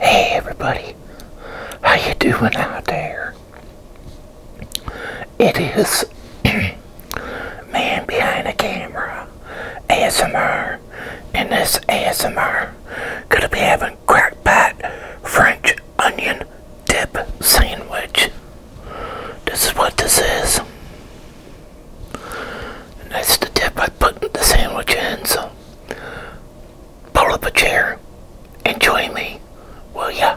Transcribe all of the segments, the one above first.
Hey everybody, how you doing out there? It is Man Behind the Camera ASMR and this ASMR gonna be having crackpot French onion dip sandwich. This is what this is that's the tip I put the sandwich in, so pull up a chair and join me, will ya?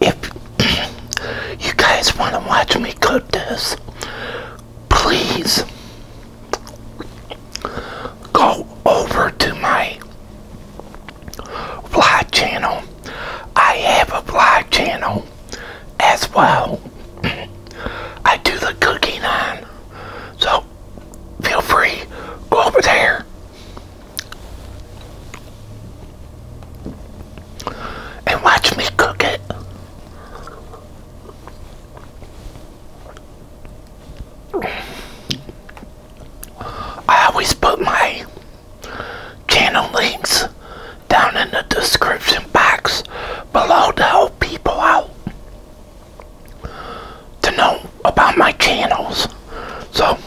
If you guys want to watch me cook this, please go over to my vlog channel. I have a vlog channel as well. I do the cooking on. So feel free, go over there. And watch me cook it. I always put my channel links down in the description box below to help people out to know about my channels. So,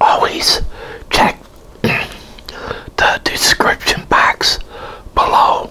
always check the description box below.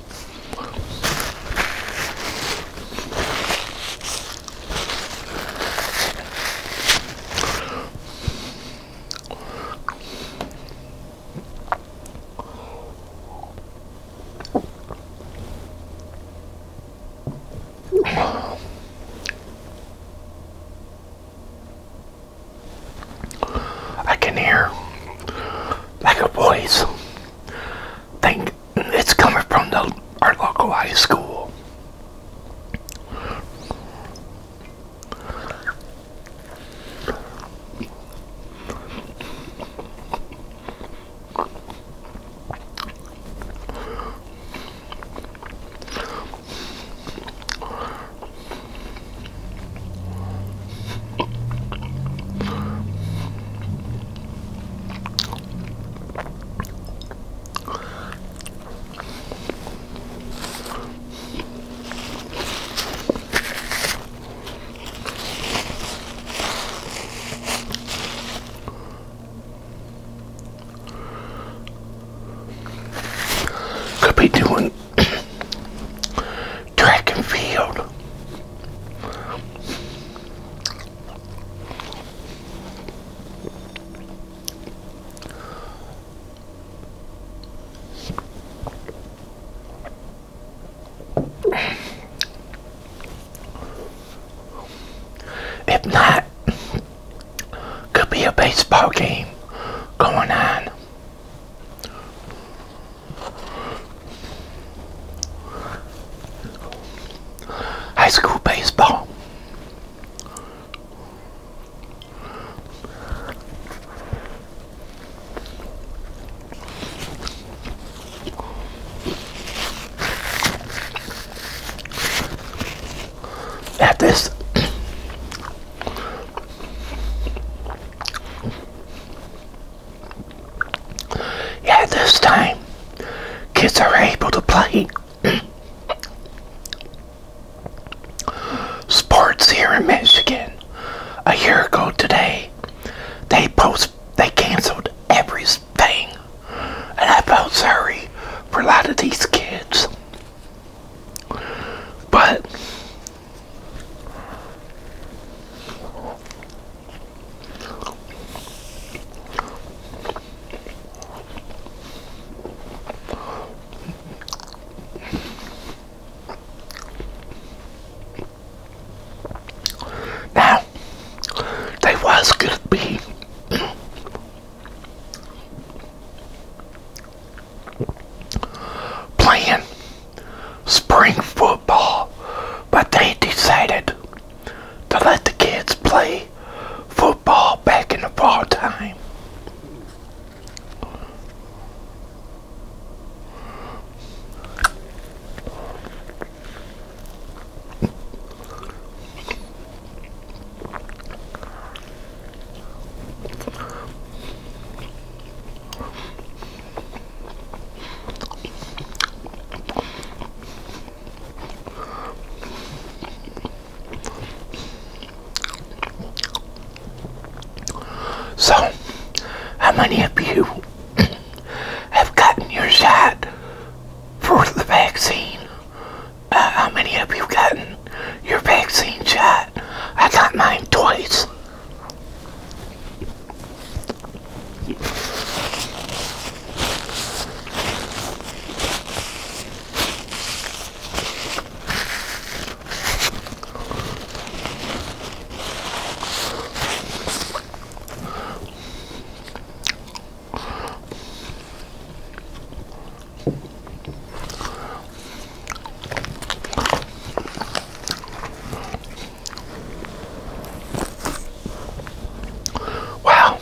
I can hear like a voice. Think it's coming from our local high school. Could be doing track and field. If not, could be a baseball game going on. High school baseball. At this yeah, this time kids are able to play sports here in Michigan. A year ago today, they post they canceled everything, and I felt sorry for a lot of these kids. But now, they was gonna be playing spring football, but they decided to let the kids play football back in the fall time. So, how many of you have gotten your shot for the vaccine uh, how many of you gotten your vaccine shot? I got mine twice. Wow,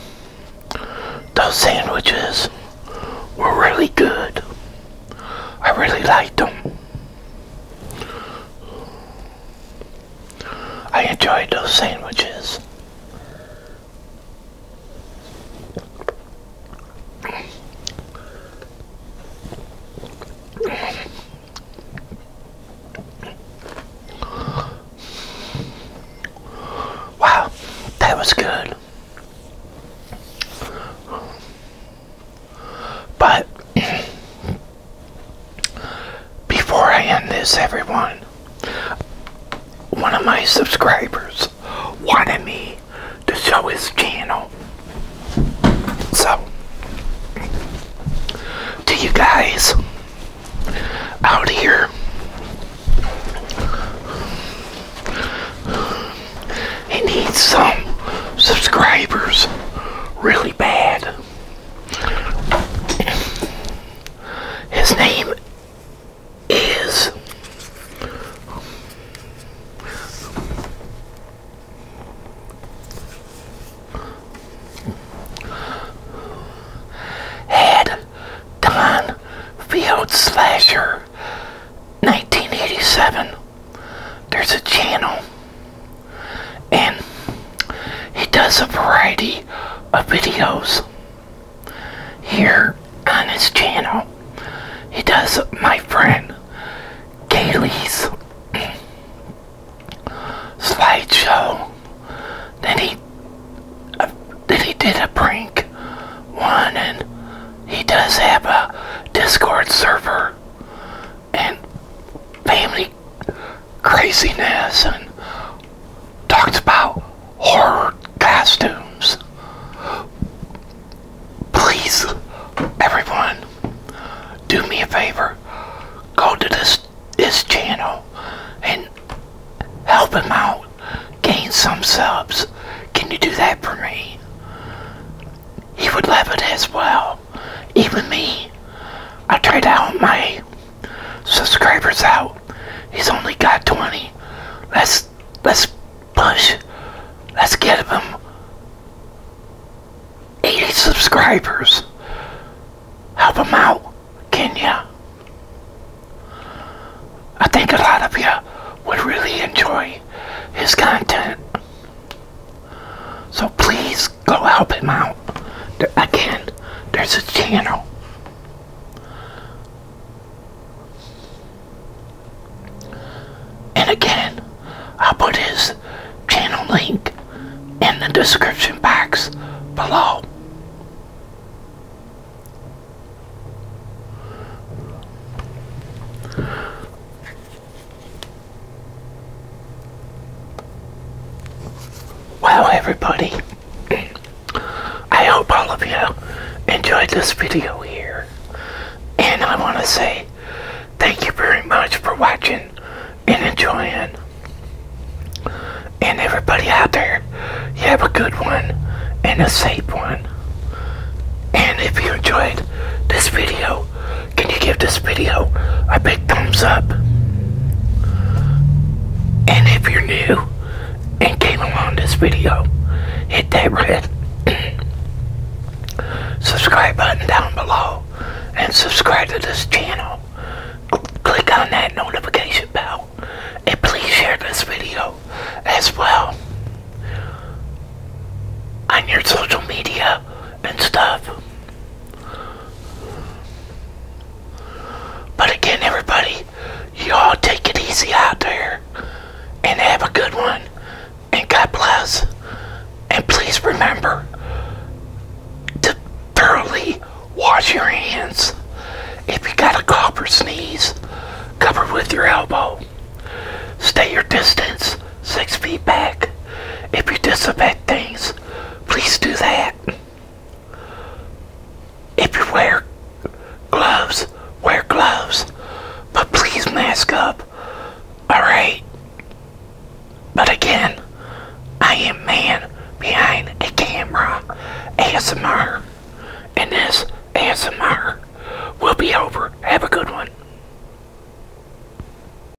those sandwiches were really good. I really liked them. I enjoyed those sandwiches. Wow, that was good. But before I end this, everyone, one of my subscribers wanted me to show his channel. So, do you guys out here, he needs some subscribers really bad. His name is had Don Field Slasher 1987. There's a channel and he does a variety of videos here on his channel. He does my friend Kaylee's slideshow. Then he uh, then he did a prank one, and he does have a Discord server and family craziness and talked about horror costumes. Please, everyone, do me a favor. Go to this his channel and help him out. Gain some subs. Can you do that for me? He would love it as well. Even me. I tried out my subscribers out. He's only got 20. Let's let's push. Let's get him 80 subscribers. Help him out, can ya? I think a lot of you would really enjoy his content. So please go help him out. There, again, there's a channel. And again, I'll put his channel link in the description box below. Wow, everybody, I hope all of you enjoyed this video here. And I want to say thank you very much for watching and enjoying. And everybody out there, you have a good one and a safe one. And if you enjoyed this video, can you give this this video I big thumbs up. And if you're new and came along this video, hit that red subscribe button down below and subscribe to this channel. Click on that notification bell and please share this video as well on your social media and stuff. But again, everybody, you all take it easy out there and have a good one. And God bless. And please remember to thoroughly wash your hands. If you got a cough or sneeze, cover with your elbow. Stay your distance, six feet back. If you disinfect things, please do that. If you wear gloves, wear gloves, but please mask up, alright? But again, I am man behind a camera, ASMR, and this ASMR will be over. Have a good one.